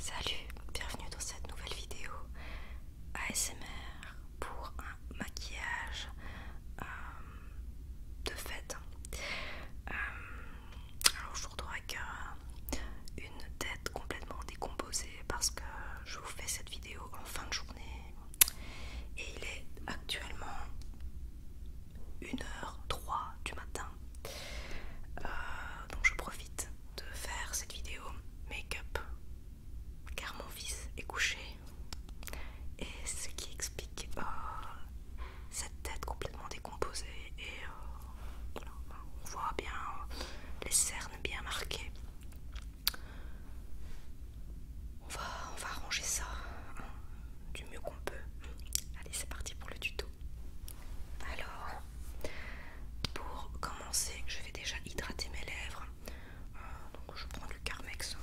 Salut, bienvenue dans cette nouvelle vidéo ASMR pour un maquillage euh, de fête. Euh, alors je vous retrouve avec une tête complètement décomposée parce que je vous fais cette vidéo en fin de journée et il est actuellement 1h03 du matin. Euh, donc je profite de faire cette vidéo make-up car mon fils est couché et ce qui explique oh, cette tête complètement décomposée et oh, on voit bien les cernes bien marquées. On va, on va arranger ça hein, du mieux qu'on peut. Allez, c'est parti pour le tuto. Alors, pour commencer, je vais déjà hydrater mes lèvres. Euh, donc je prends du Carmex.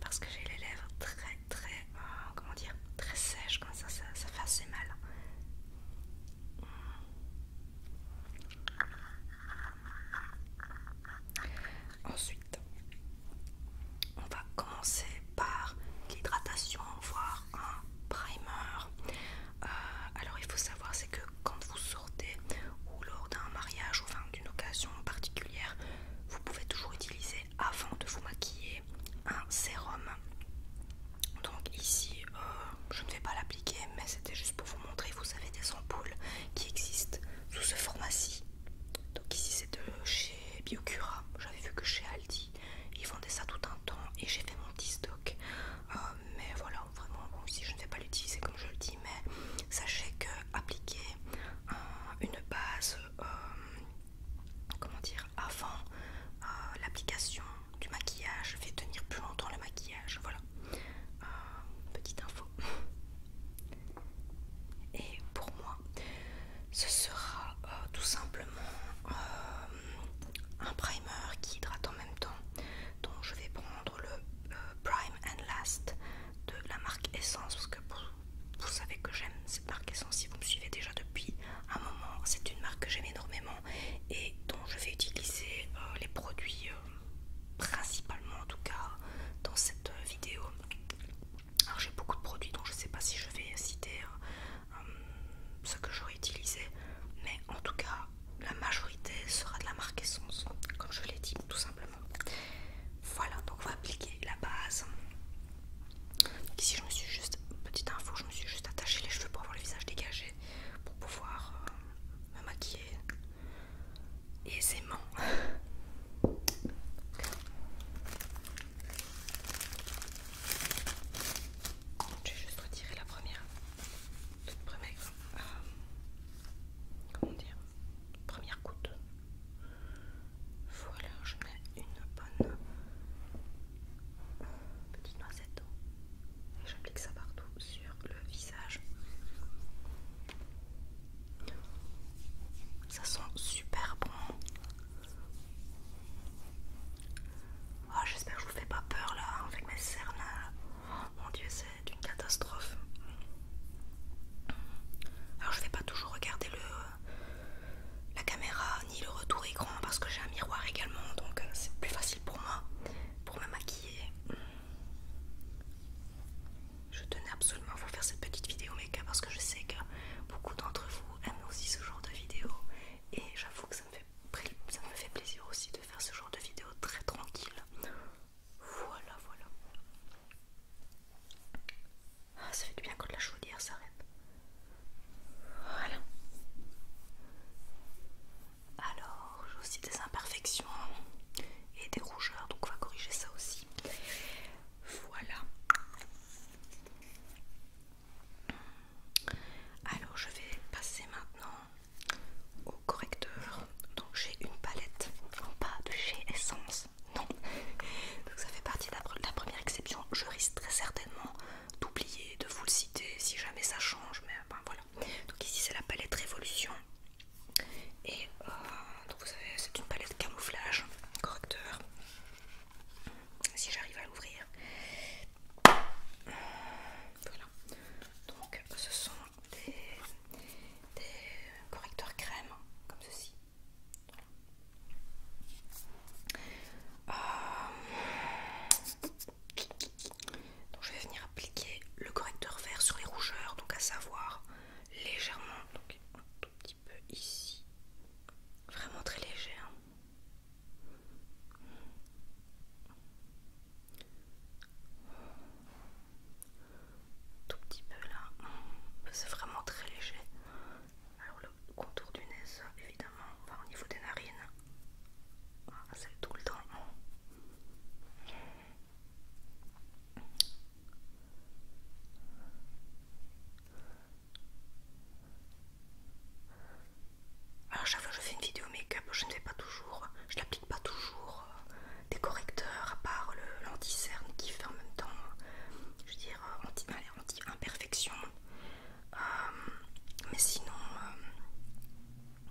Parce que j'ai les lèvres très très euh, comment dire très sèches comme ça, ça, ça fait assez mal. Ensuite, on va commencer par l'hydratation, voire un primer. Euh, alors il faut savoir c'est que quand vous sortez ou lors d'un mariage ou enfin, d'une occasion particulière, vous pouvez toujours utiliser avant de vous maquiller un sérum. Donc ici, euh, je ne vais pas l'appliquer, mais c'était juste pour vous montrer. Vous avez des ampoules qui existent sous ce format-ci. Donc ici c'est de chez Biocura. J'avais vu que chez Aldi ils vendaient ça tout un temps et j'ai fait mon petit stock. Euh, mais voilà, vraiment, bon, si je ne vais pas l'utiliser comme je le dis, mais sachez que appliquer une base, euh, comment dire, avant euh, l'application du maquillage fait tenir plus longtemps le maquillage. Voilà, petite info. Et pour moi, ce sera euh, tout simplement euh, un primer qui hydrate en même temps. Donc je vais prendre le euh, Prime and Last de la marque Essence parce que vous, savez que j'aime cette marque Essence si vous me suivez déjà depuis un moment. C'est une marque que j'aime énormément et dont je vais utiliser les produits principalement en tout cas dans cette vidéo. Alors j'ai beaucoup de produits dont je ne sais pas si je vais citer euh, euh, ce que j'aurais utilisé, mais en tout cas la majorité sera de la marque Essence, comme je l'ai dit tout simplement. Voilà, donc on va appliquer la base. ici je me suis juste, petite info, je me suis juste attaché les cheveux pour avoir le visage dégagé, pour pouvoir euh, me maquiller aisément. J'ai juste retiré la première, toute euh, comment dire, première goutte. Voilà, je mets une bonne euh, petite noisette et j'applique ça partout sur le visage. Ça sent super bon. Ah, j'espère que je vous fais pas peur là avec mes cernes. Oh, mon dieu, c'est une catastrophe. Alors je vais pas toujours regarder le, la caméra ni le retour écran parce que j'ai un miroir également donc euh, c'est plus facile pour moi pour me maquiller. Je tenais absolument à vous faire cette petite vidéo make-up parce que je sais que beaucoup d'entre vous aime aussi ce genre de vidéo et j'avoue que ça me, fait, ça me fait plaisir aussi de faire ce genre de vidéo très tranquille. Voilà, voilà. Ah, ça fait du bien quand la chaudière s'arrête. Voilà. Alors, j'ai aussi des imperfections et des rougeurs, donc on va corriger ça aussi. Voilà. Alors je vais passer maintenant au correcteur. Donc j'ai une palette non pas de chez Essence. Non. Donc ça fait partie de la première exception. Je risque très certainement d'oublier, de vous le citer si jamais ça change. Mais ben, voilà. Donc ici c'est la palette Révolution. Et euh, donc vous savez, c'est une palette camouflage, correcteur si j'arrive à l'ouvrir. Voilà. Donc ce sont des, correcteurs crème comme ceci. Euh, donc je vais venir appliquer le correcteur vert sur les rougeurs, donc à savoir légèrement, donc un tout petit peu ici. Vraiment très léger. Hein. tout petit peu là c'est vraiment très léger alors le contour du nez évidemment au niveau des narines c'est ah, tout le temps alors chaque fois que je fais une vidéo make-up, je ne fais pas toujours, je n'applique pas toujours euh, des correcteurs à part l'anti-cerne qui fait en même temps, je dire, euh, anti-imperfection. Euh, mais sinon,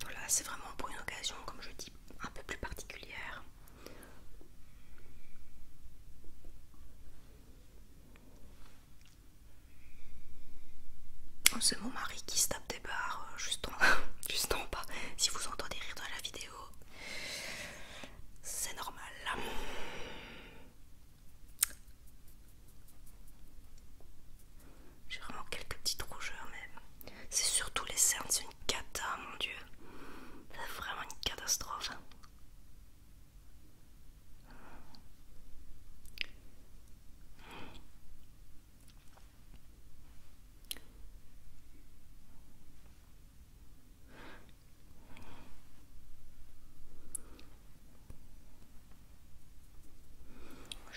voilà, c'est vraiment pour une occasion, comme je dis, un peu plus particulière. Oh, c'est mon mari qui se tape des barres euh, juste en, juste en bas. Si vous entendez rire dans la vidéo, c'est normal. J'ai vraiment quelques petites rougeurs, mais c'est surtout les cernes, c'est une cata, mon dieu. C'est vraiment une catastrophe.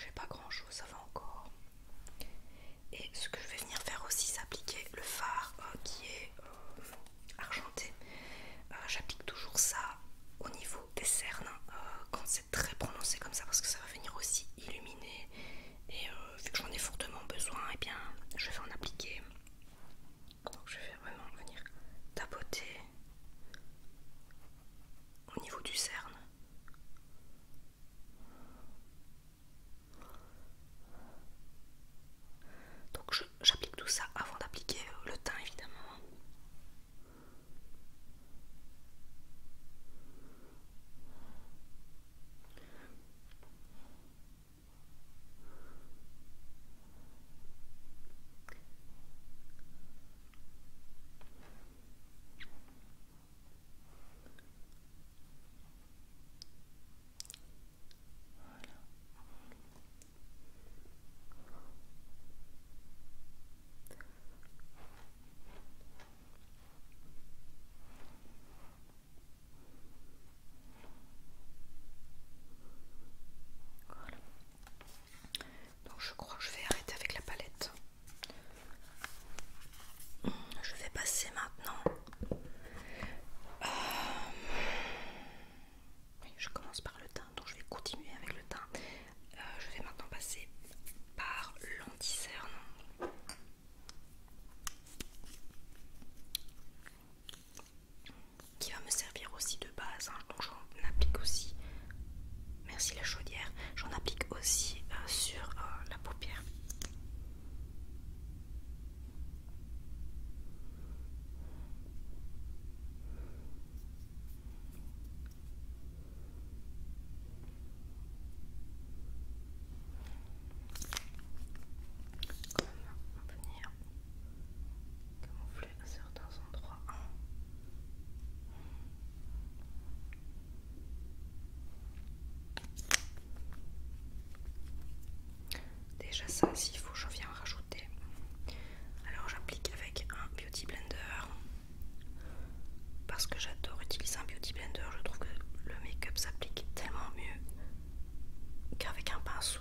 J'ai pas grand chose, ça va encore. Et ce que je vais venir faire aussi, c'est appliquer le phare euh, qui est euh, euh, argenté. Euh, j'applique toujours ça au niveau des cernes hein, euh, quand c'est très prononcé comme ça parce que ça va venir aussi illuminer et vu que j'en ai fortement besoin et eh bien je vais en appliquer donc je vais vraiment venir tapoter au niveau du cerne donc je j'applique tout ça avant d'appliquer euh, le teint évidemment. Donc je crois que je vais arrêter avec la palette. Je vais passer maintenant. Euh, je commence par le donc je vais continuer avec le teint. Euh, je vais maintenant passer par l'anti-cerne. Qui va me servir aussi de base, hein. donc j'en applique aussi, merci la chaudière, j'en applique aussi euh, sur euh, la paupière. Comme on venir camoufler à certains endroits. Déjà ça, s'il faut, je viens rajouter. Alors j'applique avec un Beauty Blender. Parce que j'adore utiliser un Beauty Blender. Je trouve que le make-up s'applique tellement mieux qu'avec un pinceau.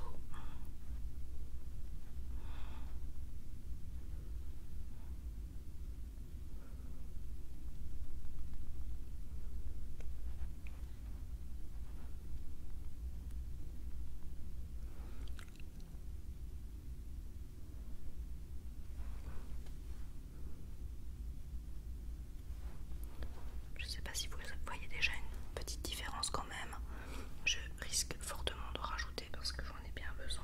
Je ne sais pas si vous voyez déjà une petite différence quand même. Je risque fortement de rajouter parce que j'en ai bien besoin.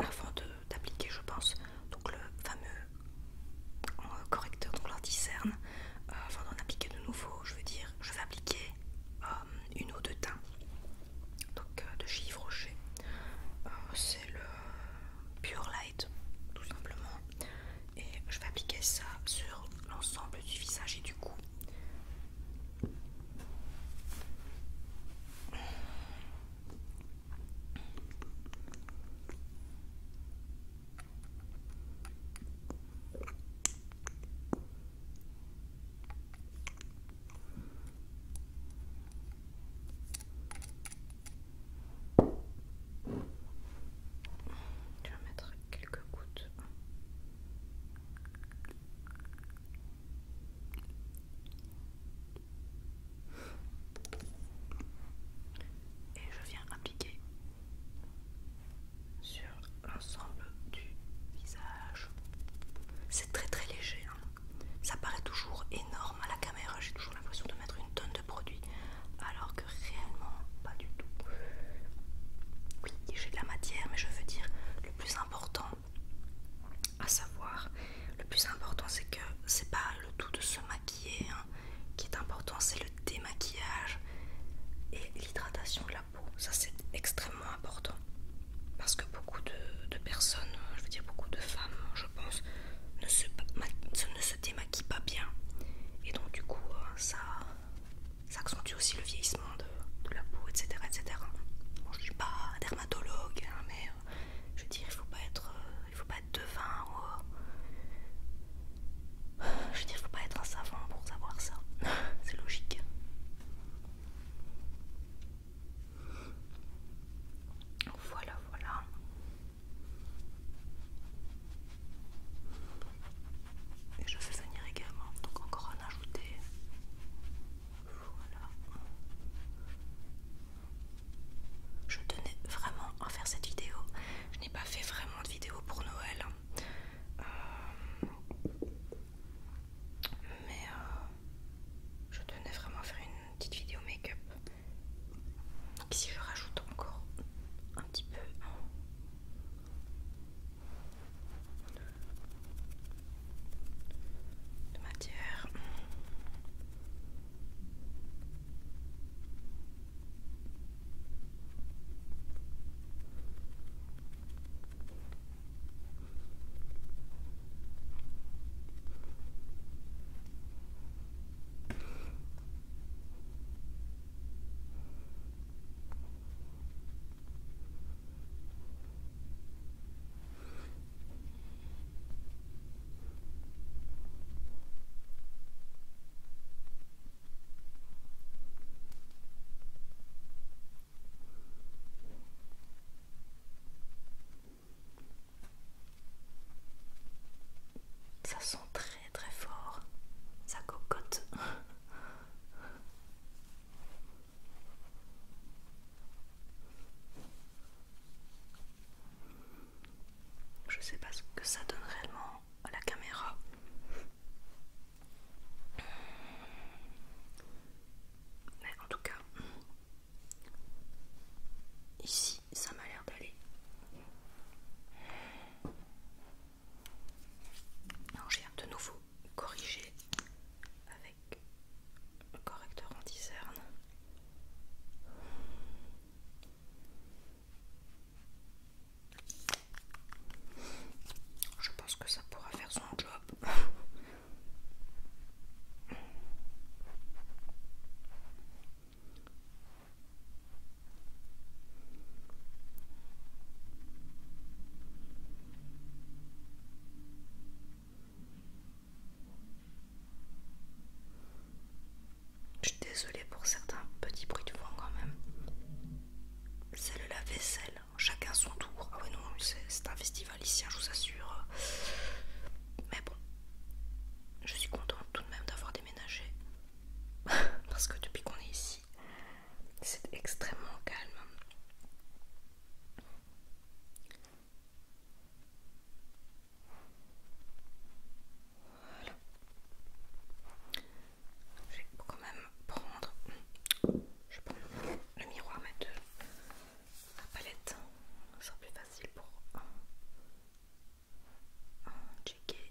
Avant d'appliquer, je pense, donc le fameux correcteur, dont on avant d'en appliquer de nouveau, je veux dire, je vais appliquer euh, une eau de teint donc euh, de chez Yves Rocher. Euh, c'est le Pure Light, tout simplement et je vais appliquer ça sur l'ensemble du visage et du cou. Tu vas mettre quelques gouttes. Et je viens appliquer sur l'ensemble du visage. C'est très très léger. Hein. Ça paraît toujours énorme à la caméra. J'ai toujours l'impression de mettre une tonne de produits alors que réellement pas du tout. Oui, j'ai de la matière, mais je veux dire le plus important à savoir, le plus important c'est que c'est pas le tout de se maquiller hein. qui est important, c'est le démaquillage et l'hydratation de la peau. Ça c'est extrêmement important parce que beaucoup de, personnes, je veux dire beaucoup de femmes, je pense, ne se, ne se démaquillent pas bien et donc du coup euh, ça ça accentue aussi le vieillissement de, la peau, etc. etc. je ne suis pas dermatologue, hein, mais euh, je veux dire, il ne faut, euh, faut pas être devin ou. Euh, je veux dire, il ne faut pas être un savant pour savoir ça. C'est logique. Voilà, voilà. Et je fais venir également, donc encore en ajouter. Voilà. Je tenais vraiment à faire cette vidéo. Je n'ai pas fait vraiment de vidéo pour Noël. Hein. Euh, mais euh, je tenais vraiment à faire une petite vidéo make-up. Donc ici je rajoute encore un petit peu de matière. Ça sent très très fort sa cocotte. Je sais pas ce que ça donne réellement à la caméra. Mais en tout cas, ici ça m'a l'air d'aller. Non, j'ai de nouveau corrigé avec le correcteur anti diserne Je pense que ça pourra faire son job. Je suis désolée pour certains petits bruits de vent quand même. C'est le lave-vaisselle, chacun son tour. Ah oui, non, c'est un festival ici, hein, je vous assure. Mais bon, je suis contente tout de même d'avoir déménagé. Parce que depuis qu'on est ici, c'est extrêmement calme. Voilà. Je vais quand même prendre. le miroir, mais la palette. Ça sera plus facile pour checker.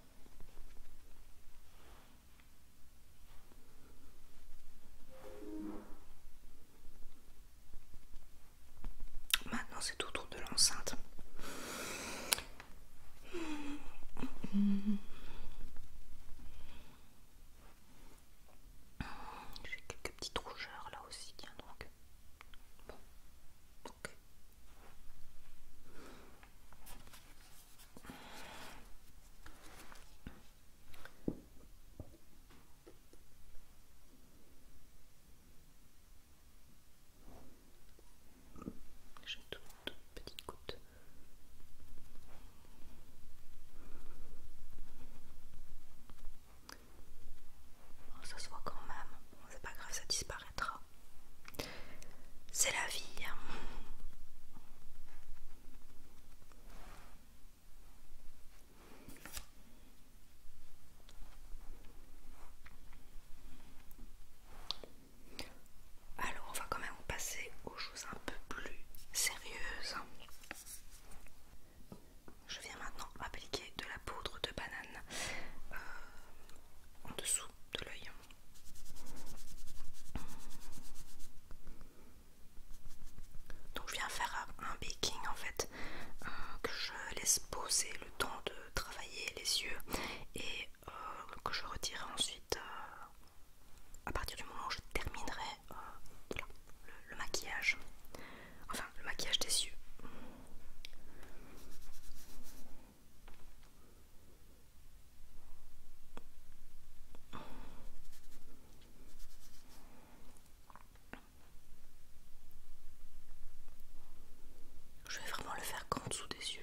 Maintenant c'est autour de l'enceinte. J'ai quelques petites rougeurs là aussi, tiens donc. Bon, ok. J'ai une toute, petite goutte. On ça se voit quand même, c'est pas grave, ça disparaît. C'est la vie. Hein. Alors, on va quand même passer aux choses un peu plus sérieuses. Je viens maintenant appliquer de la poudre de banane euh, en dessous de l'œil. Donc je viens faire un baking en fait euh, que je laisse poser le temps de travailler les yeux et euh, que je retirerai ensuite euh, à partir du moment où je terminerai le maquillage. Enfin le maquillage des yeux. Je vais vraiment le faire qu'en dessous des yeux.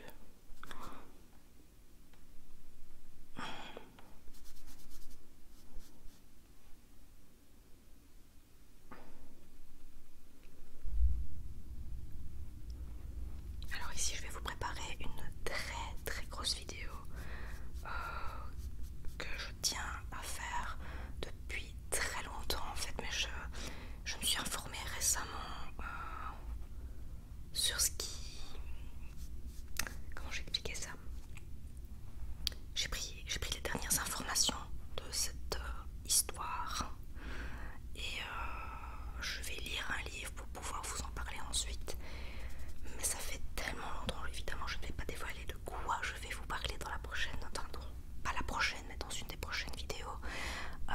Alors ici je vais vous préparer une très très grosse vidéo euh, que je tiens à faire depuis très longtemps en fait mais je, me suis informée récemment euh, sur ce qui... Comment j'ai expliqué ça J'ai pris, pris les dernières informations de cette euh, histoire et euh, je vais lire un livre pour pouvoir vous en parler ensuite. Mais ça fait tellement longtemps, évidemment, je ne vais pas dévoiler de quoi je vais vous parler dans la prochaine, non pas la prochaine, mais dans une des prochaines vidéos. Euh,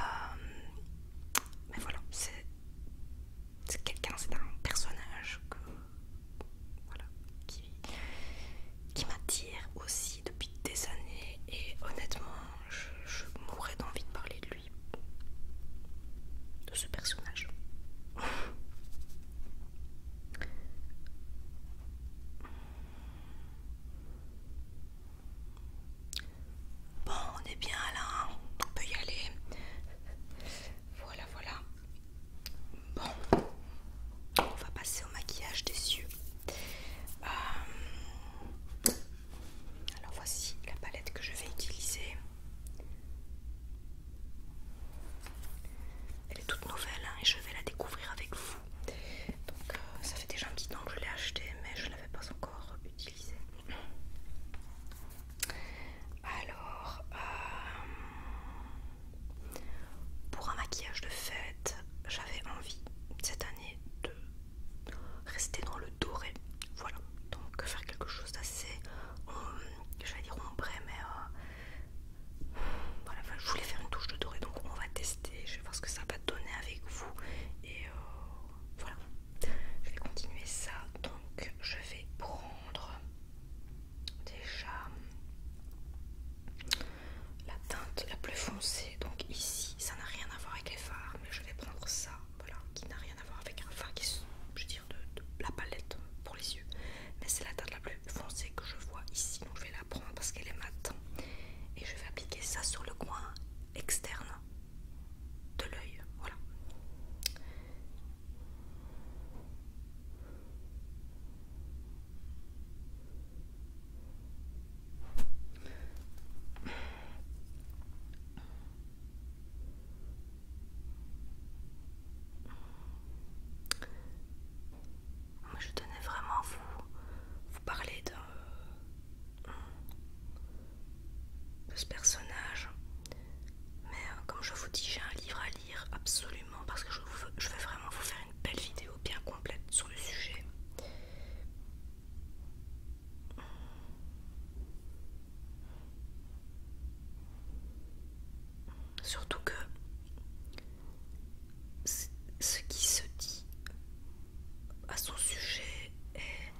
mais voilà, c'est quelqu'un, c'est un personnage que, voilà, qui m'attire aussi depuis des années et honnêtement, je, mourrais d'envie de parler de lui, de ce personnage. Bon, on est bien là, hein. on peut y aller. Voilà, voilà. Bon, on va passer au maquillage des yeux. Euh, alors voici la palette que je vais utiliser. Elle est toute nouvelle hein, et je vais la découvrir avec vous. Donc euh, ça fait déjà un petit temps que je l'ai acheté mais je ne l'avais pas encore utilisée. Alors, euh, pour un maquillage de fête, j'avais envie cette année de rester dans le doré. Voilà, donc faire quelque chose d'assez, euh, je vais dire ombré, mais euh, voilà, je voulais faire une touche de doré, donc on va tester, je vais voir ce que ça va donner avec vous. Et euh, voilà, je vais continuer ça, donc je vais prendre déjà la teinte la plus foncée, donc ici ça n'a rien à voir avec les fards, mais je vais prendre ça qui n'a rien à voir avec qui je de, la palette pour les yeux. Mais c'est la teinte la plus foncée que je vois ici, donc je vais la prendre parce qu'elle est mate Et je vais appliquer ça sur le coin externe de l'œil, voilà je tenais vraiment à vous, parler de, ce personnage. Mais euh, comme je vous dis, j'ai un livre à lire absolument parce que je vais vraiment vous faire une belle vidéo bien complète sur le sujet. Surtout que ce qui se dit à son sujet est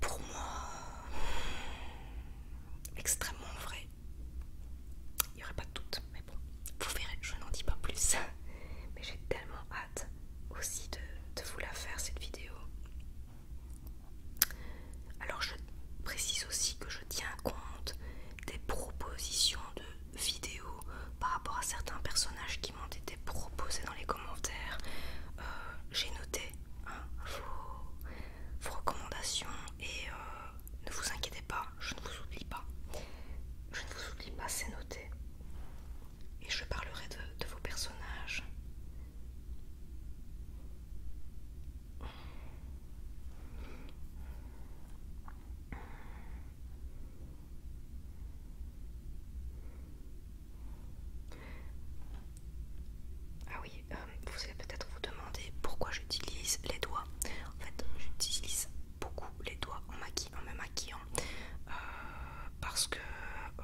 pour moi extrêmement vrai. Il n'y aurait pas de doute, mais bon, vous verrez, je n'en dis pas plus. Mais j'ai tellement aussi de, vous la faire cette vidéo. Alors je précise aussi que je tiens compte des propositions de vidéos par rapport à certains personnages qui m'ont été proposés dans les commentaires. Euh, j'ai noté hein, vos, recommandations et euh, ne vous inquiétez pas, je ne vous oublie pas. Je ne vous oublie pas, c'est noté et je parlerai de, vos personnages. Ah oui, euh, vous allez peut-être vous demander pourquoi j'utilise les doigts. En fait, j'utilise beaucoup les doigts en, en me maquillant euh, parce que euh,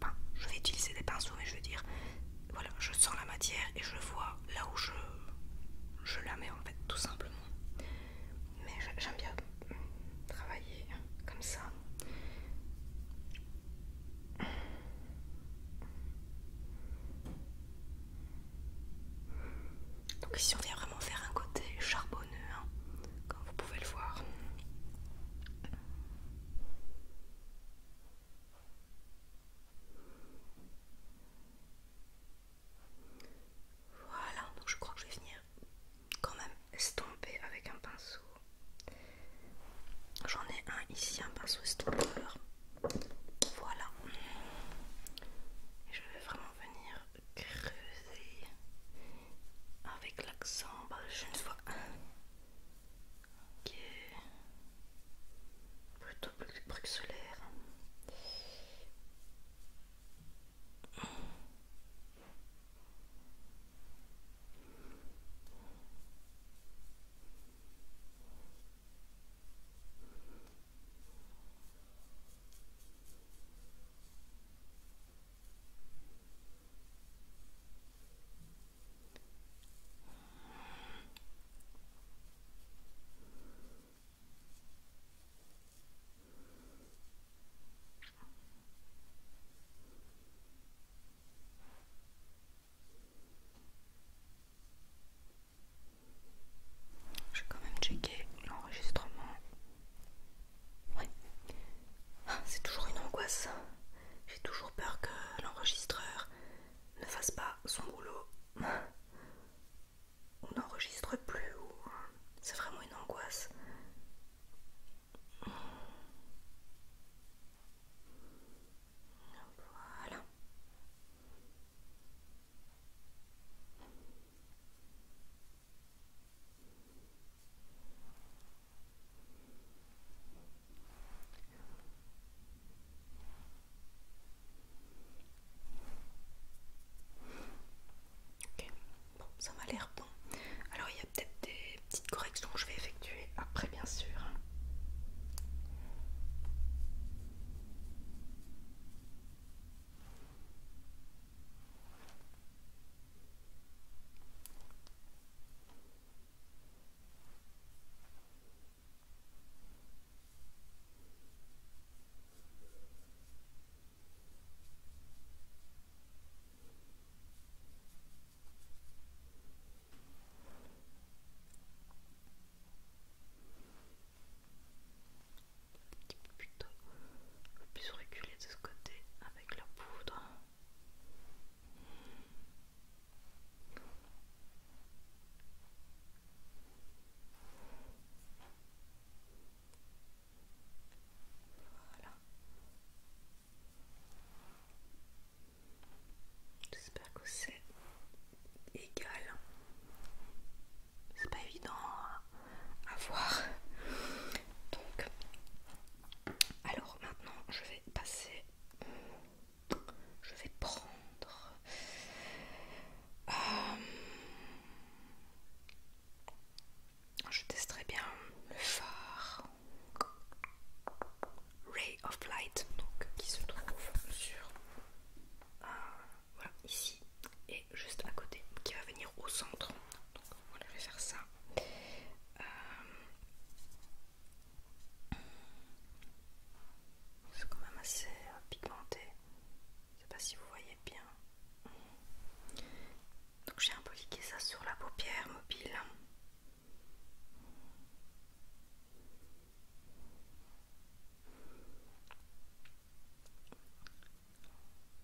ben, je vais utiliser des pinceaux mais je veux dire voilà je sens la matière et je vois là où je, la mets en fait tout simplement mais j'aime bien travailler comme ça donc ici on vient vraiment faire un côté charbonneux hein, comme vous pouvez le voir. Voilà, donc je crois que je vais venir quand même estomper avec un pinceau. J'en ai un ici, un pinceau estompeur. Voilà. je vais vraiment venir creuser avec l'accent bas je ne vois ok plutôt bruxelaire je quand même checker l'enregistrement. Oui, ah, C'est toujours une angoisse. J'ai toujours peur que l'enregistreur ne fasse pas son boulot. On n'enregistre plus. C'est vraiment une angoisse. Voilà ça m'a l'air bon. Alors il y a peut-être des petites corrections que je vais effectuer après, bien sûr. Un petit on peut plus reculer de ce côté avec la poudre. Voilà. J'espère que c'est égal. C'est pas évident hein à voir. Donc, alors maintenant, je vais passer. Je vais prendre. Euh, je testerai bien le phare Ray of Light, donc qui se trouve sur euh, voilà, ici et juste à côté, qui va venir au centre donc je vais faire ça. Euh, c'est quand même assez euh, pigmenté. Je sais pas si vous voyez bien. Donc j'ai un peu liqué ça sur la paupière mobile.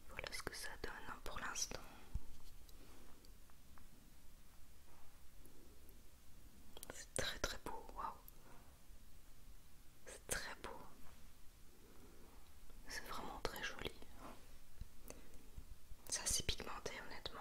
Voilà ce que ça donne hein, pour l'instant. C'est très très beau, waouh! C'est très beau. C'est vraiment très joli. Ça s'est pigmenté honnêtement.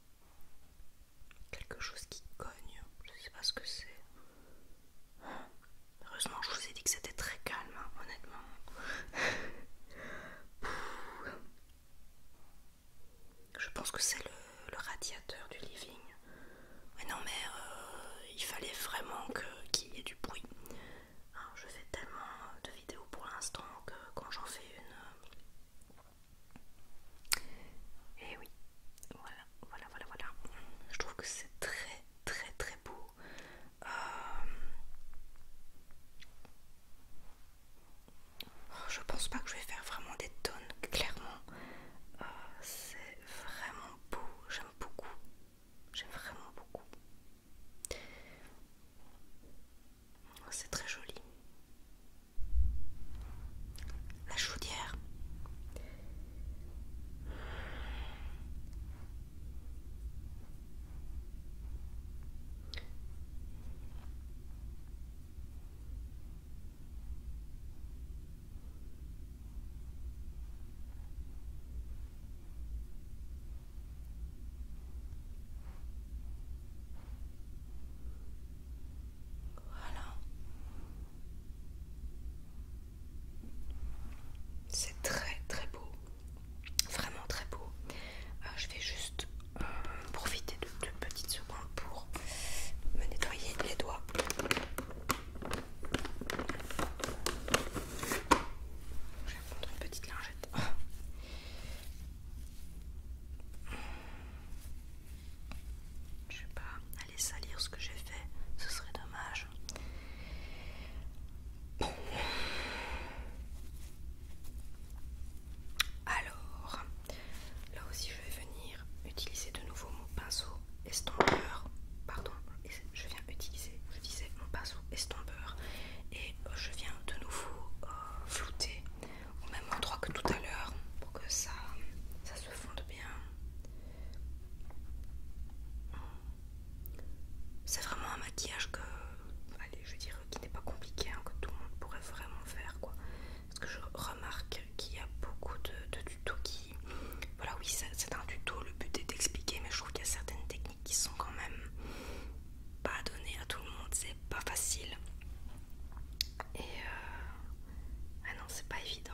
Quelque chose qui cogne, je sais pas ce que c'est. Heureusement, je vous ai dit que c'était très calme, hein, honnêtement. je pense que c'est le, radiateur du living. Mais non, mais euh, il fallait vraiment qu'il y ait du bruit. Hein, je fais tellement de vidéos pour l'instant que quand j'en fais une, et eh oui, voilà, voilà, voilà, voilà. Je trouve que c'est très, très, très beau. Euh, oh, je pense pas que je vais faire vraiment des tonnes, clairement. Euh, c'est vraiment beau, j'aime beaucoup. J'aime vraiment beaucoup. C'est très joli. La chaudière. Voilà. C'est très très beau. Vraiment très beau. Euh, je vais juste euh, profiter de deux petites secondes pour me nettoyer les doigts. Je vais prendre une petite lingette je vais pas, aller salir ce que j'ai fait, ce serait dommage. Alors, là aussi je vais venir utiliser de nouveau mon pinceau estompeur. Pardon, je viens utiliser, je disais mon pinceau estompeur et euh, je viens de nouveau euh, flouter au même endroit que tout à l'heure pour que ça, ça se fonde bien. C'est vraiment un maquillage que, allez, je dire qui n'est pas compliqué, hein, que tout le monde pourrait vraiment faire, quoi. Parce que je remarque qu'il y a beaucoup de, tutos qui, voilà, oui, c'est un tuto. Le but est d'expliquer, mais je trouve qu'il y a certaines techniques qui sont quand même pas données à tout le monde. C'est pas facile. Et euh, ah non, c'est pas évident.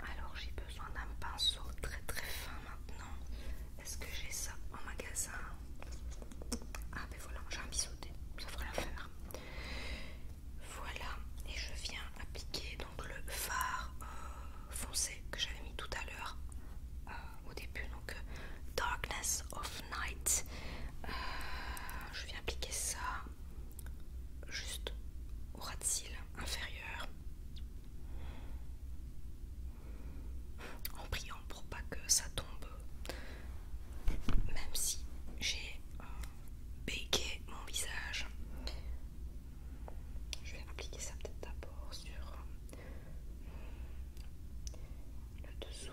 Alors j'ai besoin d'un pinceau très très fin maintenant est-ce que j'ai ça en magasin Ah ben voilà, j'ai un biseauté, ça fera l'affaire. Voilà, et je viens appliquer donc le fard euh, foncé que j'avais mis tout à l'heure euh, au début, donc euh, Darkness of Night. je viens appliquer ça juste au ras de cils inférieur en priant pour pas que ça tombe, même si j'ai euh, bégué mon visage. Je vais appliquer ça peut-être d'abord sur euh, le dessous.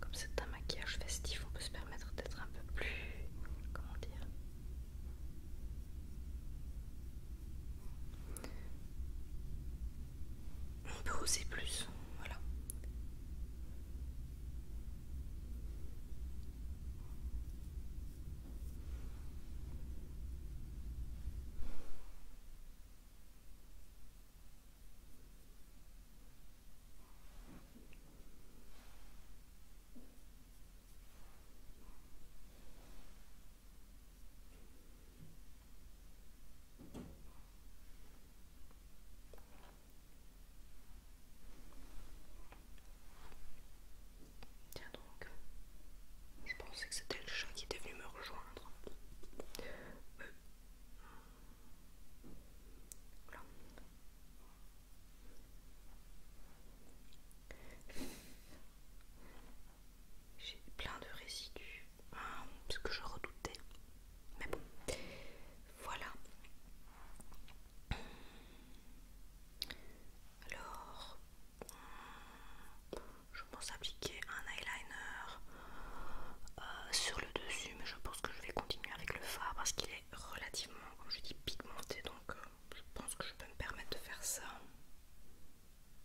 Comme c'est un maquillage festif, on peut se permettre d'être un peu plus... comment dire on peut oser plus, voilà. Tiens donc, je pensais que c'était le chat qui était venu me rejoindre j'ai plein de résidus, hein, ce que je redoutais. Mais bon, voilà. Alors, je pense appliquer un eyeliner euh, sur le dessus, mais je pense que je vais continuer avec le fard parce qu'il est relativement, comme je dis, pigmenté, donc euh, je pense que je peux me permettre de faire ça.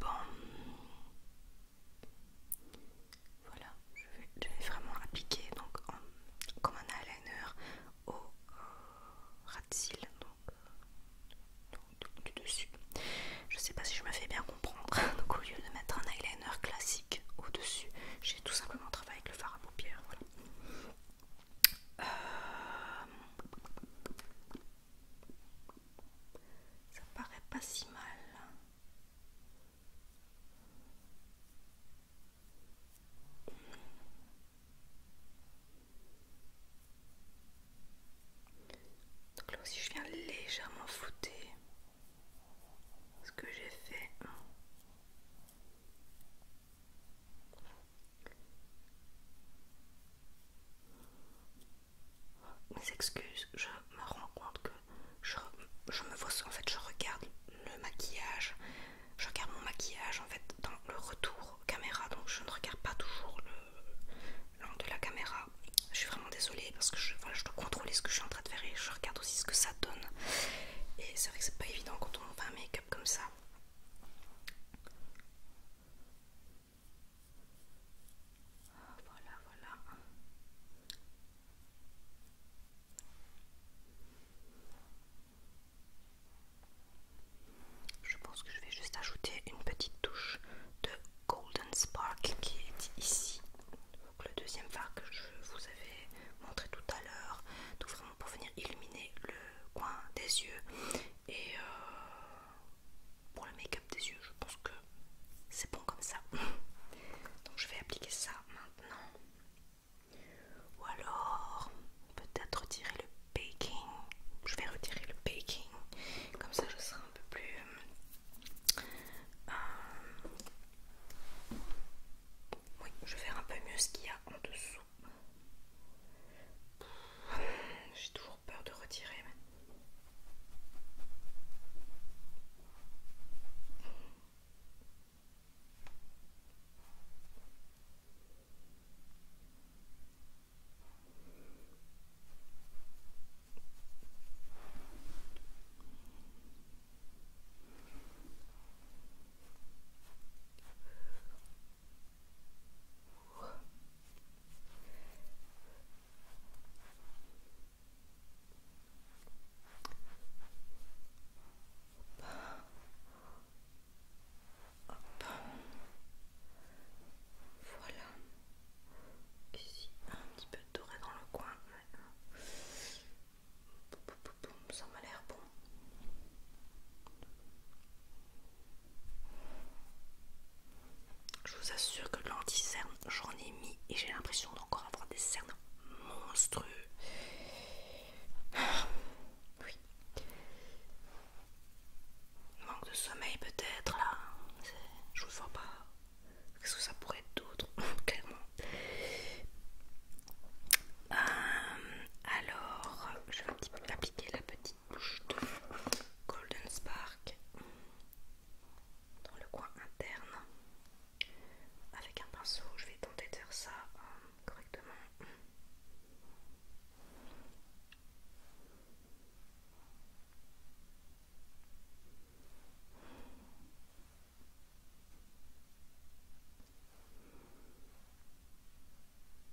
Bon. Voilà, je vais, vraiment appliquer donc comme un eyeliner au euh, ras donc, euh, du, dessus. Je sais pas si je me fais bien comprendre. Donc au lieu de mettre un eyeliner classique au dessus, j'ai tout simplement travaillé avec le fard à paupières. Voilà. Euh, ça paraît pas si mal. là aussi je viens légèrement flouter ce que j'ai fait. Mes excuses, je me rends compte que je, me vois, en fait, je regarde le maquillage, je regarde mon maquillage en fait dans le retour caméra, donc je ne regarde pas toujours l'angle de la caméra. Je suis vraiment désolée parce que je, je dois contrôler ce que je suis en train de faire et je regarde aussi ce que ça donne. Et c'est vrai que c'est pas évident quand on fait un make-up comme ça. Voilà, voilà. Je pense que je vais juste ajouter une petite touche de Golden Spark qui est ici. le deuxième fard que je vous avais montré tout à l'heure pour venir illuminer le coin des yeux et euh, pour le make-up des yeux je pense que c'est bon comme ça donc je vais appliquer ça maintenant ou alors peut-être retirer le baking je vais retirer le baking comme ça je serai un peu plus euh, oui je vais faire un peu mieux ce qu'il y a en dessous j'ai toujours peur de retirer. Voilà. Ici, un petit peu de doré dans le coin. Ça m'a l'air bon. Je vous assure que l'anti-cerne, j'en ai mis et j'ai l'impression d'encore avoir des cernes monstrueux. Ah, oui. Manque de sommeil peut-être là. Je vous vois pas. Qu'est-ce que ça pourrait être d'autre Clairement. Euh, alors, je vais un petit peu appliquer la petite bouche de Golden Spark dans le coin interne. Avec un pinceau, je vais tenter de faire ça euh, correctement.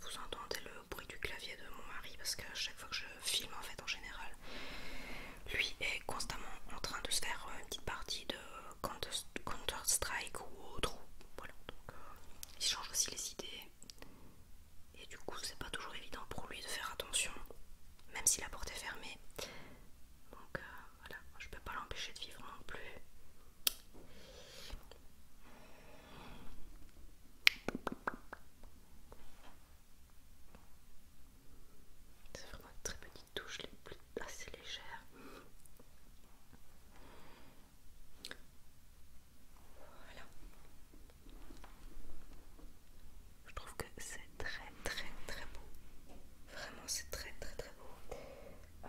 vous entendez le bruit du clavier de mon mari parce que chaque fois que je filme en fait en général lui est constamment en train de se faire euh, une petite partie de Counter, Strike ou autre voilà euh, il change aussi les idées et du coup c'est pas toujours évident pour lui de faire attention même si la porte est fermée donc euh, voilà je peux pas l'empêcher de vivre non plus c'est vraiment une très petite touche, les plus assez légère. Voilà. Je trouve que c'est très très très beau. Vraiment c'est très très très beau. Euh,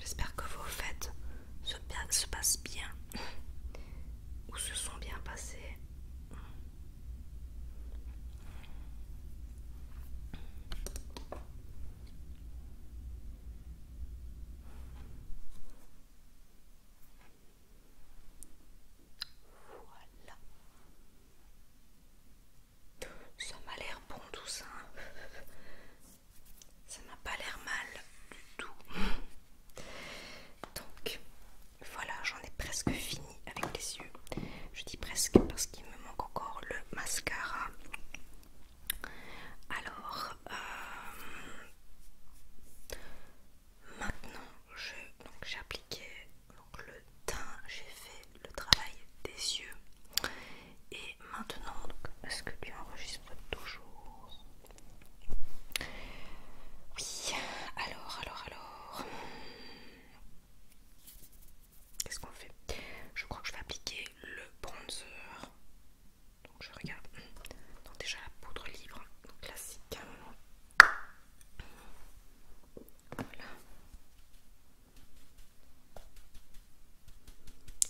J'espère que vos fêtes se, se passent bien ou se sont bien passées. Voilà. Ça m'a l'air bon tout ça. Hein. Ça m'a pas l'air mal du tout. Donc voilà, j'en ai presque fini avec les yeux. Je dis presque parce qu'il me manque encore le mascara. Alors, euh, maintenant, j'ai appliqué le teint, j'ai fait le travail des yeux. Et maintenant, est-ce que tu enregistres toujours Oui, alors, alors, alors. Qu'est-ce qu'on fait Je crois que je vais appliquer le bronzer je regarde. Donc déjà la poudre libre, classique.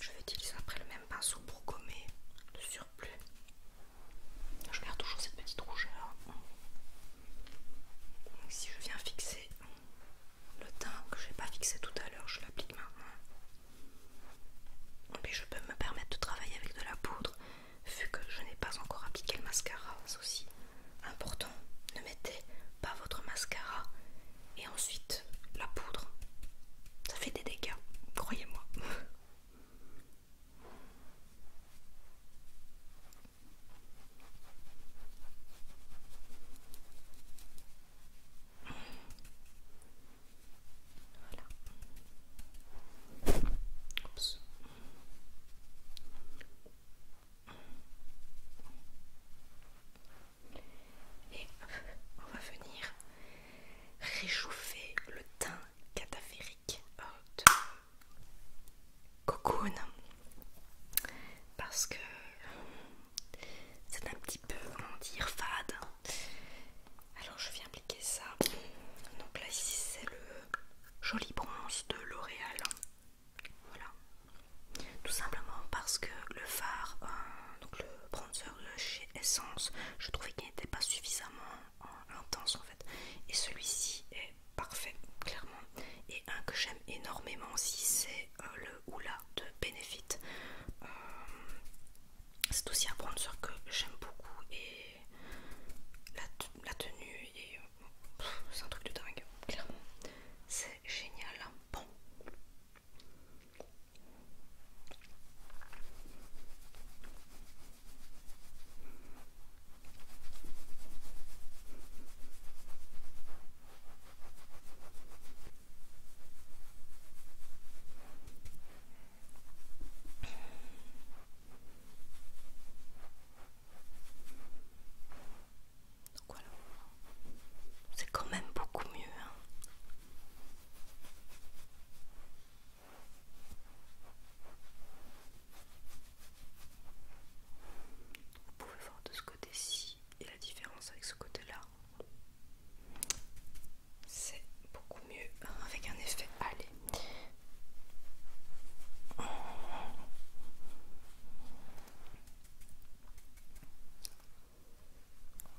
Je vais utiliser après le même pinceau pour gommer le surplus. Je garde toujours cette petite rougeur. Si je viens fixer le teint que je n'ai pas fixé tout à l'heure, je l'applique maintenant. Mais je peux me permettre de travailler avec de la poudre vu que je n'ai pas encore appliqué le mascara. C'est aussi important. Ne mettez pas votre mascara et ensuite la poudre. Ça fait des dégâts, croyez-moi. Et on va venir réchauffer le teint cataphérique de Cocoon parce que c'est un petit peu, dire, fade. Alors je viens appliquer ça. Donc là ici c'est le joli bronze de L'Oréal. Voilà. Tout simplement parce que le phare euh, donc le bronzer de chez Essence, je trouvais qu'il n'était pas suffisamment euh, intense en fait. Et celui-ci est parfait, clairement. Et un que j'aime énormément aussi, c'est euh, le Oula de Benefit c'est aussi à prendre sur que j'aime beaucoup et la, tenue et c'est un truc de dingue clairement c'est génial bon donc voilà, c'est quand même beaucoup mieux. Hein. Vous pouvez voir de ce côté-ci et la différence avec ce côté-là. C'est beaucoup mieux avec un effet. Allez.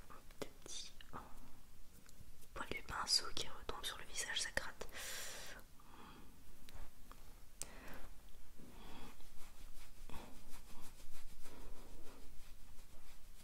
Un petit poil du pinceau qui retombe sur le visage, ça gratte.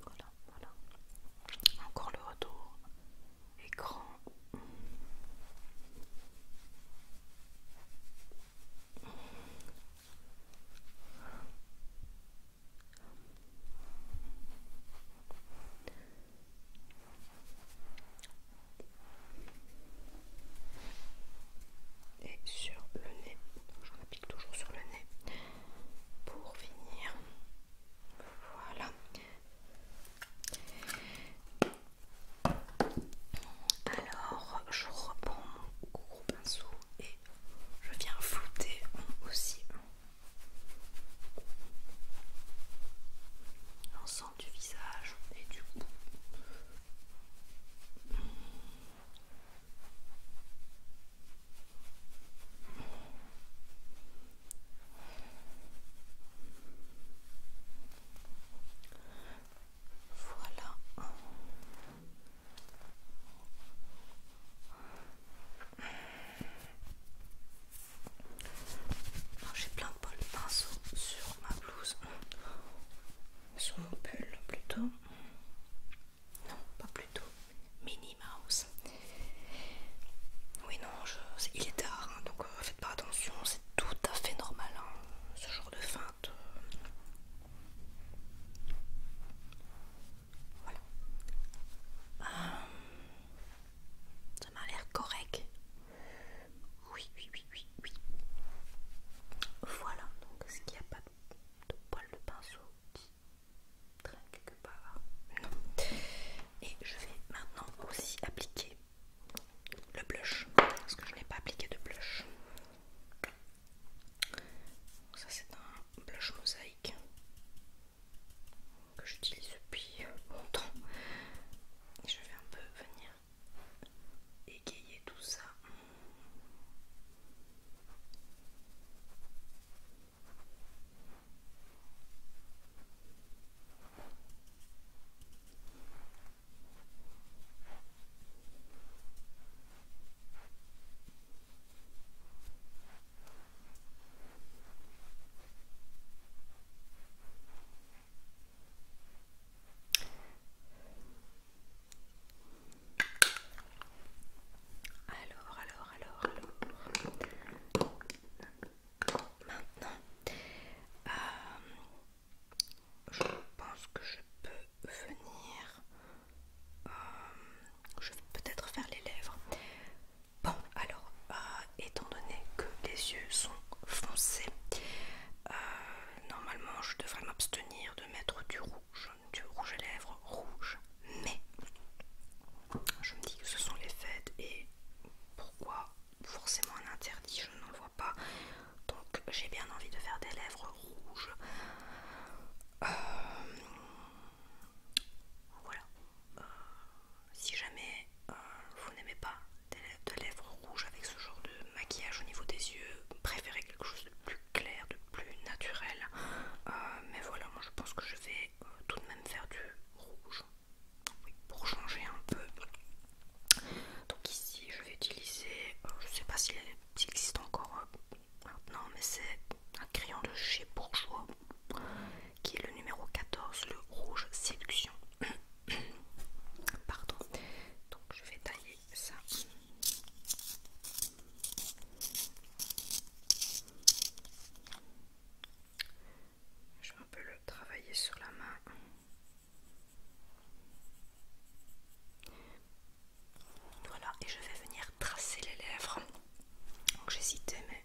Voilà, voilà. Encore le retour. Écran et sur le nez. je m'applique toujours sur le nez pour finir. Voilà. Alors je reprends mon gros pinceau et je viens flouter aussi. Ensemble du visage et du cou. Voilà. J'ai plein de pinceaux sur ma blouse, sur mon pull plutôt. Non, pas plutôt. Mini Mouse. Oui, non, il est tard, hein, donc euh, faites pas attention, c'est tout à fait normal hein, ce genre de feinte. Voilà. Euh, ça m'a l'air correct. Oui, oui, oui, oui, oui. Voilà, donc ce qu'il n'y a pas de, poil de pinceau qui quelque part Non. Et je vais maintenant aussi appliquer le blush, parce que je n'ai pas appliqué de blush. ça c'est un blush mosaïque que j'utilise depuis longtemps je vais un peu venir égayer tout ça. Alors, alors, alors, alors. Maintenant, euh, je pense que je peux venir. Euh, je vais peut-être faire les lèvres. Bon, alors, euh, étant donné que les yeux sont foncés, euh, normalement je devrais m'abstenir de mettre du rouge, du rouge à lèvres rouge, mais je me dis que ce sont les fêtes et pourquoi forcément un interdit, je n'en vois pas. Donc j'ai bien envie de faire des lèvres rouges. Euh, voilà. Euh, si jamais euh, vous n'aimez pas de lèvres rouges avec ce genre de maquillage au niveau des yeux, préférez quelque chose de plus clair, de plus naturel. Euh, mais voilà, moi je pense que je vais euh, tout de même faire du rouge pour changer un peu. Donc ici je vais utiliser, je ne sais pas s'il existe encore maintenant, mais c'est un crayon de chez Bourgeois qui est le numéro 14, le rouge séduction. Pardon. Donc je vais tailler ça. Je vais un peu le travailler sur la main. Voilà, et je vais venir tracer les lèvres. Donc j'hésitais, mais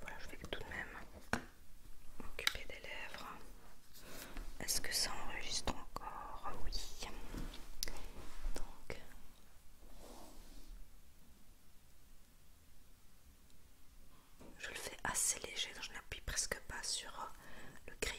voilà, je vais tout de même Occuper des lèvres. Est-ce que ça enregistre encore Oui. Donc. Je le fais assez léger, donc je n'appuie presque pas sur euh, le crayon.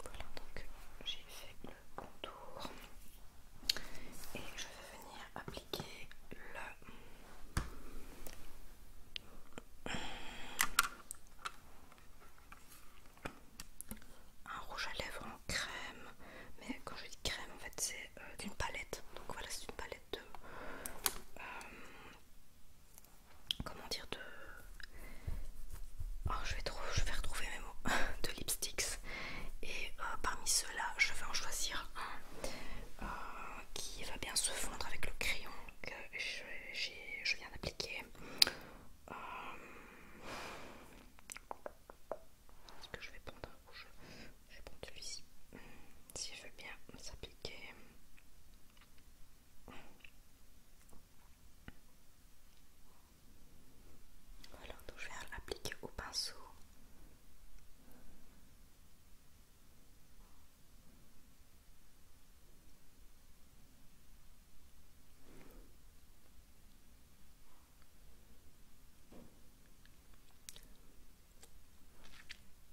Voilà, donc j'ai fait le contour et je vais venir appliquer le... un rouge à lèvres en crème, mais quand je dis crème, en fait, c'est une euh, d'une palette. Donc voilà, c'est une palette de... Euh, comment dire de oh, je, vais je vais retrouver mes mots de lipsticks et euh, parmi ceux-là je vais en choisir un euh, qui va bien se fondre avec le crayon que je, viens d'appliquer euh, est-ce que je vais prendre un rouge je vais pondre celui-ci hmm, si je veux bien s'appliquer alors, donc je vais l'appliquer au pinceau.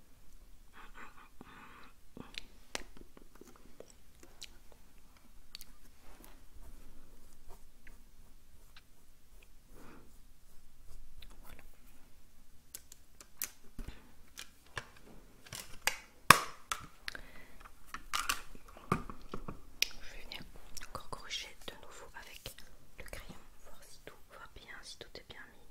Je vais venir encore corriger de nouveau avec le crayon, voir si tout va bien, si tout est bien mis.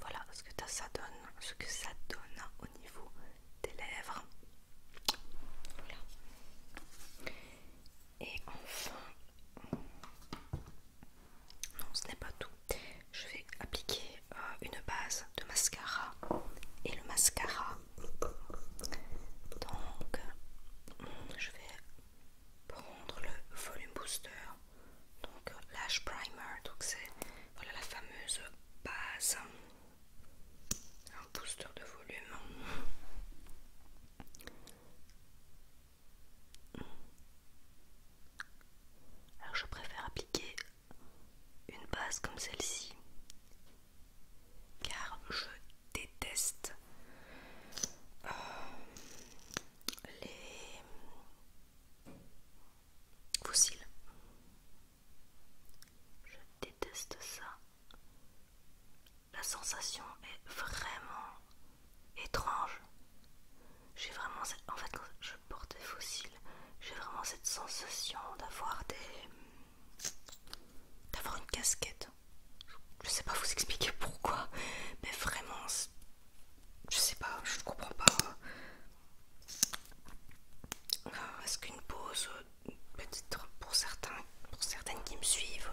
Voilà ce que ça donne, ce que ça donne au niveau des lèvres. Et enfin, non, ce n'est pas tout. Je vais appliquer euh, une base de mascara et le mascara donc, je vais prendre le volume booster, donc l'ash primer, donc c'est voilà la fameuse base, un booster de volume. Alors je préfère appliquer une base comme celle-ci car je déteste euh, les fossiles. Je déteste ça. La sensation est vraiment étrange. J'ai vraiment En fait, quand je porte des fossiles, j'ai vraiment cette sensation d'avoir des d'avoir une casquette. Je sais pas vous expliquer pourquoi, mais vraiment, je sais pas, je comprends pas. Euh, est-ce qu'une pause, euh, peut-être pour certains, pour certaines qui me suivent,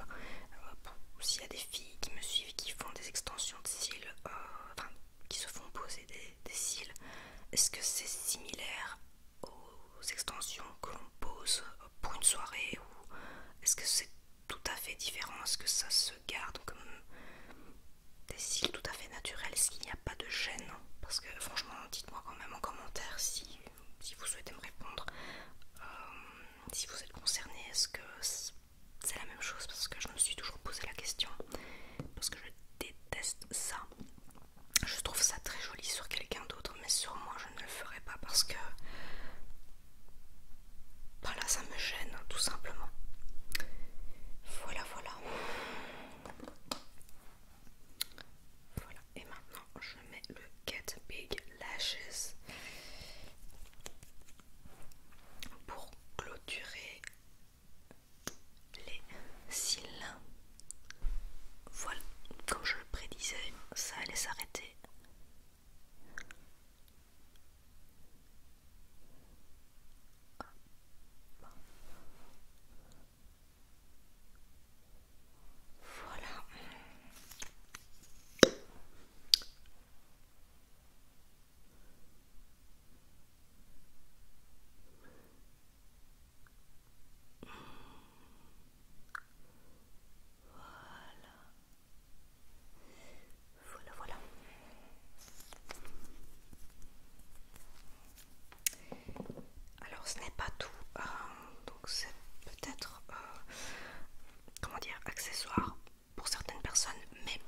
euh, s'il y a des filles qui me suivent et qui font des extensions de cils, enfin qui se font poser des cils, est-ce que c'est similaire aux extensions que l'on pose pour une soirée ou est-ce que c'est tout à fait différent Est-ce que ça se garde comme des cils tout à fait naturels Est-ce qu'il n'y a pas de gêne Parce que franchement, dites-moi quand même en commentaire si, vous souhaitez me répondre. Euh, si vous êtes concerné, est-ce que c'est la même chose Parce que je me suis toujours posé la question. Parce que je déteste ça je trouve ça très joli sur quelqu'un d'autre, mais sur moi je ne le ferai pas parce que voilà, bah ça me gêne tout simplement. Voilà, voilà. Voilà, et maintenant je mets le Get Big Lashes pour clôturer les cils. Voilà, comme je le prédisais, ça allait s'arrêter. Voilà. Voilà, voilà, voilà. Alors, ce n'est pas tout, euh, donc c'est peut-être, euh, comment dire, accessoire pour certaines personnes, mais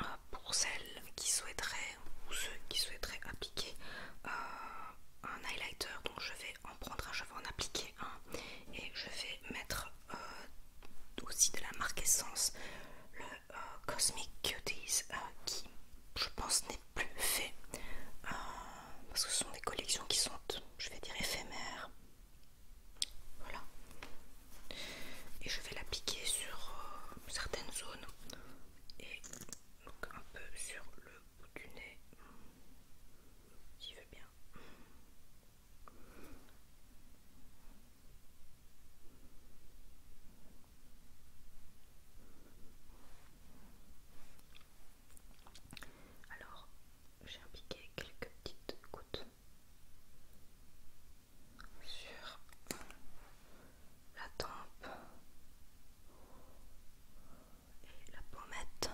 euh, pour celles qui souhaiteraient ou ceux qui souhaiteraient appliquer un highlighter, donc je vais je vais en appliquer un et je vais mettre euh, aussi de la marque Essence, le euh, Cosmic Cuties euh, qui je pense n'est plus fait parce que ce sont des collections qui sont, je vais dire, éphémères. Voilà. Et je vais l'appliquer sur certaines zones et donc un peu sur le du nez, veux bien. Alors, j'ai appliqué quelques petites gouttes sur la tempe et la pommette.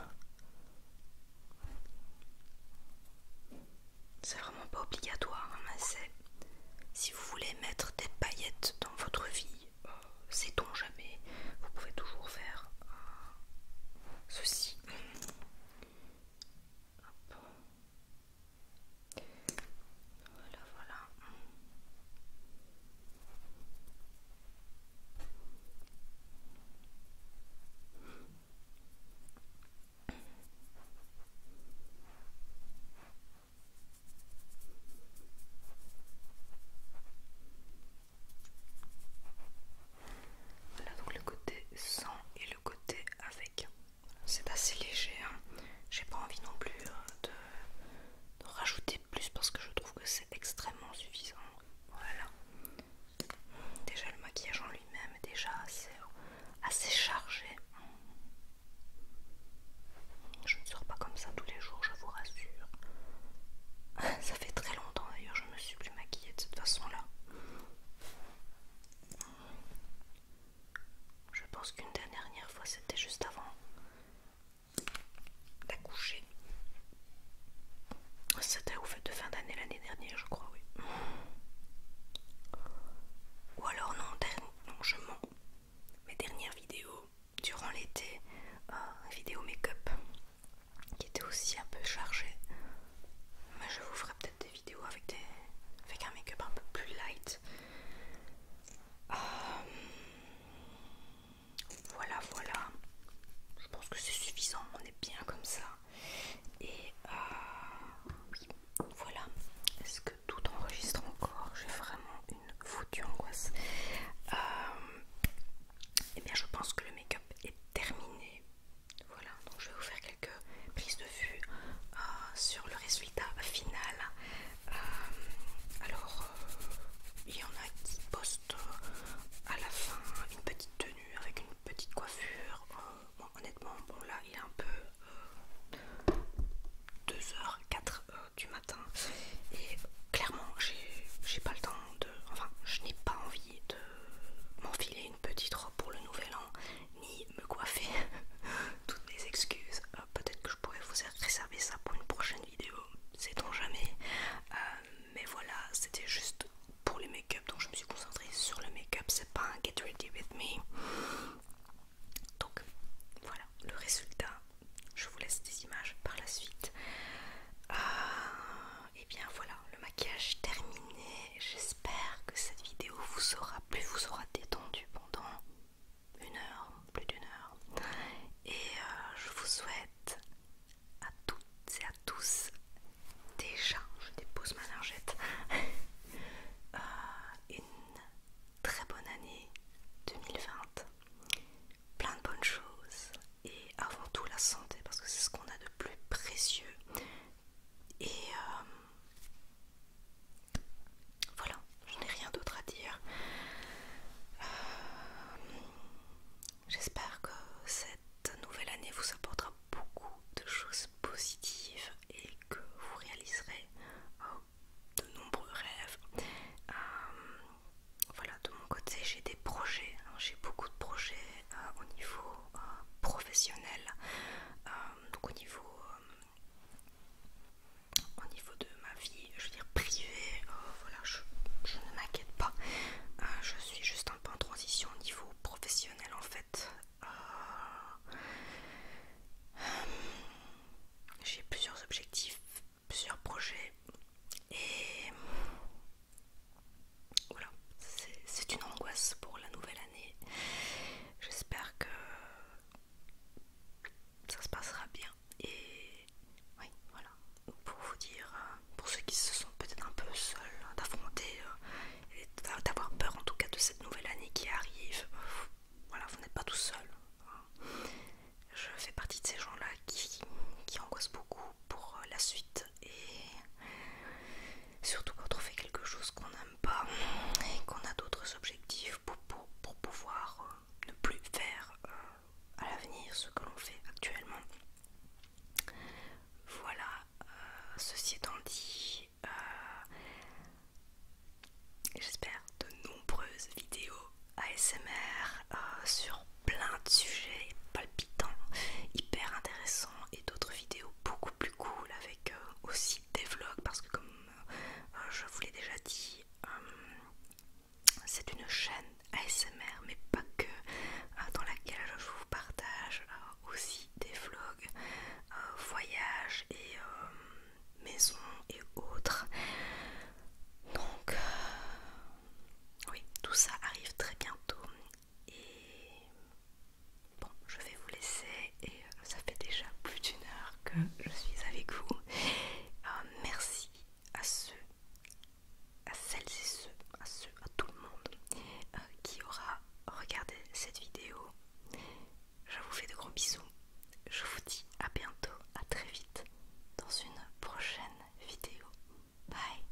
C'est vraiment pas obligatoire, hein, mais c'est si vous voulez mettre des paillettes dans votre vie, c'est euh, sait jamais, vous pouvez toujours faire ceci. Voilà donc le côté sans et le côté avec. C'est assez léger, hein. j'ai pas envie non plus euh, de de rajouter plus parce que je trouve que c'est extrêmement suffisant. Voilà. Déjà le maquillage en lui-même est déjà assez, assez chargé. Je ne sors pas comme ça tous les jours, je vous rassure. Ça fait très longtemps d'ailleurs, je ne me suis plus maquillée de cette façon-là. Je pense qu'une dernière fois c'était juste avant d'accoucher. C'était au fait de fin d'année l'année dernière, je crois, oui. Ou alors non, non je mens. Mes dernières vidéos durant l'été, euh, vidéo make-up qui était aussi un peu chargée. Mais je vous ferai peut-être des vidéos avec, des, avec un make-up un peu plus light. Euh, voilà, voilà. Je pense que c'est suffisant. On est bien comme ça. Et oui, euh, voilà. Est-ce que tout enregistre encore J'ai vraiment une foutue angoisse. et euh, eh bien, je pense que le make-up est terminé. Voilà, donc je vais vous faire quelques prises de vue euh, sur le résultat final. alors, il y en a qui postent euh, à la fin une petite tenue avec une petite coiffure. Euh, honnêtement, bon là il est un peu 2 h 4 du matin et clairement j'ai pas le temps de... Enfin, je n'ai pas envie de m'enfiler une petite robe pour le nouvel an ni me coiffer. Toutes mes excuses. Euh, peut-être que je pourrais vous réserver ça pour une prochaine vidéo. Sait-on jamais mais voilà, c'était juste pour les make-up, donc je me suis concentrée sur le make-up, c'est pas un get ready with me. Donc voilà le résultat. Je vous laisse des images par la suite. Euh, et bien voilà, le maquillage terminé. J'espère que cette vidéo vous aura plu, vous aura détendu pendant une heure, plus d'une heure. Et euh, je vous souhaite à toutes et à tous. Déjà, je dépose ma lingette, euh, une très bonne année 2020. Plein de bonnes choses. Et avant tout la santé, parce que c'est ce qu'on a de plus précieux. Et euh, voilà, je n'ai rien d'autre à dire. Euh, J'espère que cette nouvelle année vous apportera beaucoup de choses positives et que vous réaliserez euh, de nombreux rêves. Euh, voilà, de mon côté, j'ai des projets, hein. j'ai beaucoup de projets euh, au niveau professionnel, donc au niveau, au niveau de ma vie je veux dire, privé, euh, voilà, je, ne m'inquiète pas. Euh, je suis juste un peu en transition au niveau professionnel en fait. Euh, j'ai plusieurs objectifs, plusieurs projets et voilà, c'est une angoisse pour la nouvelle année. J'espère que ça se passera bien et oui, voilà. Pour vous dire, euh, pour ceux qui se sentent peut-être un peu seuls hein, d'affronter euh, d'avoir peur en tout cas de cette nouvelle année qui arrive, voilà, vous n'êtes pas tout seul. Hein. Je fais partie de ces gens-là qui, angoissent beaucoup pour euh, la suite et surtout quand on fait quelque chose qu'on n'aime pas et qu'on a d'autres objectifs pour, pouvoir ne plus faire à l'avenir, ce que l'on fait actuellement. Voilà, euh, ceci étant dit, euh, j'espère de nombreuses vidéos ASMR euh, sur plein de sujets palpitants, hyper intéressants et d'autres vidéos beaucoup plus cool avec aussi des vlogs parce que comme je vous l'ai déjà dit, c'est une chaîne ASMR, mais pas que, hein, dans laquelle je vous partage euh, aussi des vlogs, euh, voyages et euh, maisons et autres. Donc, oui, tout ça arrive très bientôt. Et bon, je vais vous laisser. Et ça fait déjà plus d'une heure que je suis avec vous. merci à ceux à celles et ceux, à ceux, à tout le monde euh, qui aura regardé cette vidéo. Je vous fais de gros bisous. Je vous dis à bientôt, à très vite dans une prochaine vidéo. Bye